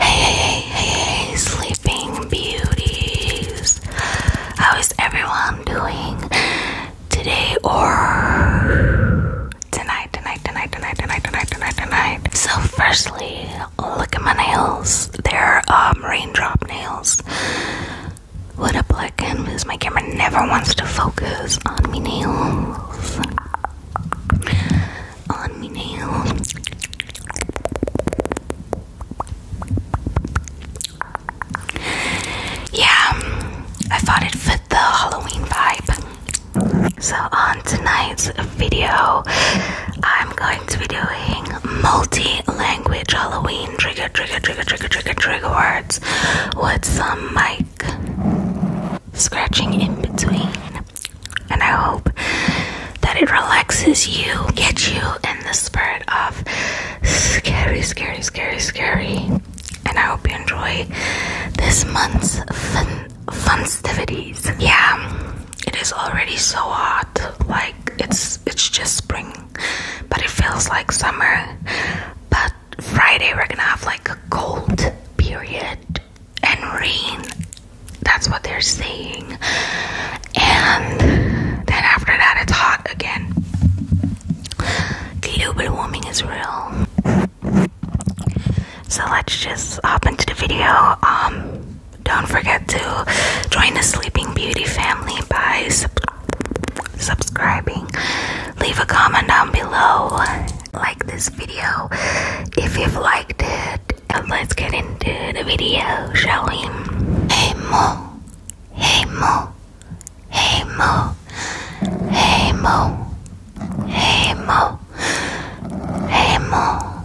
Hey, hey, hey, hey, sleeping beauties. How is everyone doing today or tonight, tonight, tonight, tonight, tonight, tonight, tonight, tonight? So, firstly, look at my nails. They're um, raindrop nails. What a black canvas. My camera never wants to focus on me nails. On me nails. Yeah, I thought it fit the Halloween vibe. So, on tonight's video, I'm going going to be doing multi-language Halloween trigger, trigger, trigger, trigger, trigger, trigger words with some mic scratching in between. And I hope that it relaxes you, gets you in the spirit of scary, scary, scary, scary. And I hope you enjoy this month's fun festivities. Yeah it is already so hot like it's it's just spring but it feels like summer but friday we're gonna have like a cold period and rain that's what they're saying and then after that it's hot again global warming is real so let's just hop into the video um don't forget to join the Sleeping Beauty family by subscribing. Leave a comment down below. Like this video if you've liked it. And let's get into the video, shall we? Hey Mo, hey Mo, hey Mo, hey Mo, hey Mo, hey Mo.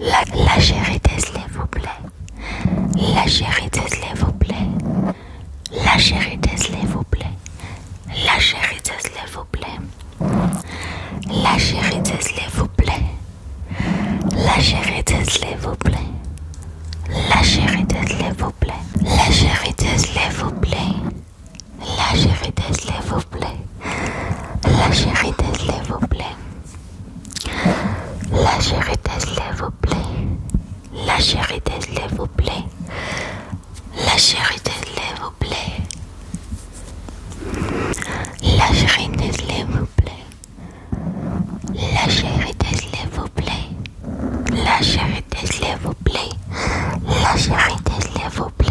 La chérie s'il vous plaît. La chérie s'il vous plaît. La chérie s'il vous plaît. la chérie s'il vous plaît. La chérie s'il vous plaît. La chérie s'il vous plaît. La chérie s'il vous plaît. La s'il vous plaît. La chérie s'il vous plaît. La chérie s'il vous plaît. La chérie s'il vous plaît. La chérie s'il vous plaît. La chérie s'il vous plaît. La chérie s'il vous plaît. La chérie s'il vous plaît. La chérie s'il vous plaît. La chérie vous plaît.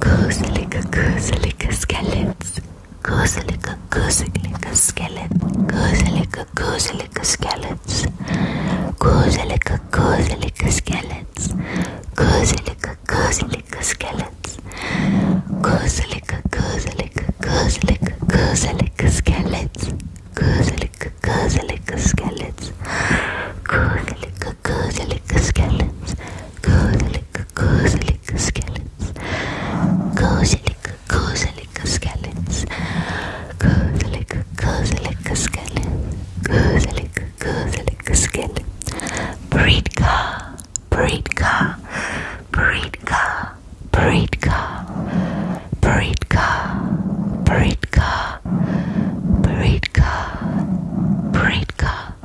Gooselika gooselika skeleton. Gooselika gooselika skeleton. Gooselika gooselika skeleton. Gooselika gooselika skeleton. Gooselika gooselika skeleton. Gooselika gooselika gooselika gooselika skeleton. Gooselika gooselika skeleton. Gooselika gooselika skeleton. Kozalik, Kozalik skeletons. Kozalik, Kozalik skeletons. Kozalik, Kozalik skeletons. Kozalik, Kozalik skeletons. Breedka, Breedka, Breedka, Breedka, Breedka, Breedka, Breedka, Breedka.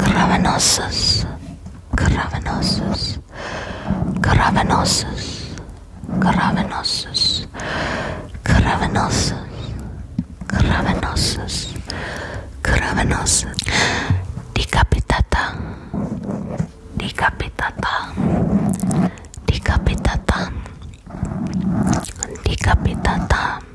cavernosus, caravanosus, caravanosus, caravanosus, caravanosus, caravanosus, caravanosus, caravanosus, decapitata, decapitata, decapitata, decapitata.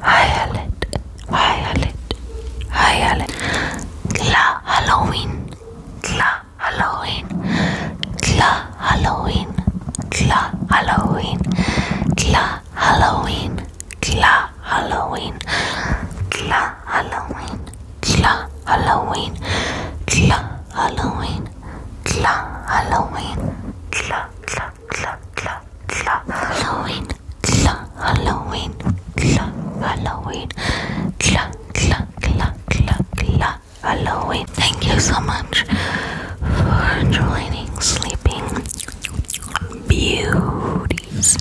Violet, Violet, Violet. Tla Halloween, Tla Halloween, Tla Halloween, Tla Halloween, Tla Halloween, Tla Halloween, Tla Halloween, Tla Halloween, Tla Halloween, Tla Halloween, Tla Tla Tla Tla Tla Halloween tla Halloween, tla Halloween, tla tla tla tla tla Halloween. Thank you so much for joining sleeping beauties.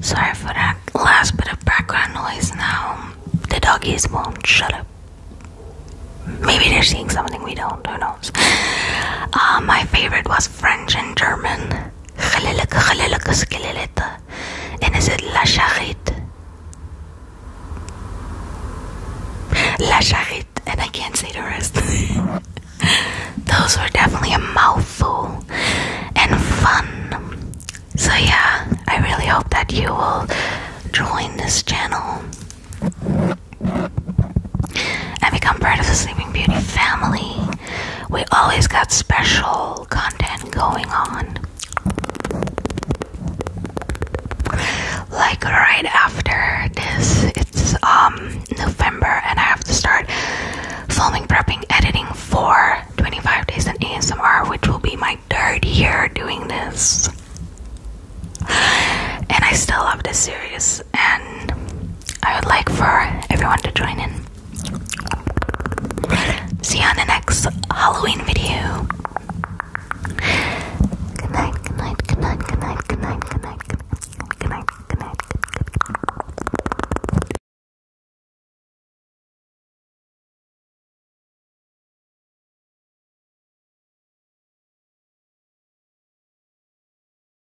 Sorry for that last bit of background noise. Now the doggies won't shut up. Maybe they're seeing something we don't. Who knows? Uh, my favorite was French and German. Geleelijke, geleelijke skeletten. La Charite. And I can't say the rest. Those were definitely a mouthful and fun. So, yeah, I really hope that you will join this channel and become part of the Sleeping Beauty family. We always got special content going on. Like right after this, it's um November and I have to start filming, prepping, editing for 25 days in ASMR, which will be my third year doing this. And I still love this series and I would like for everyone to join in. See you on the next Halloween video. Good night, good night, good night, good night, good night, good night, good night, good night, good night, good night.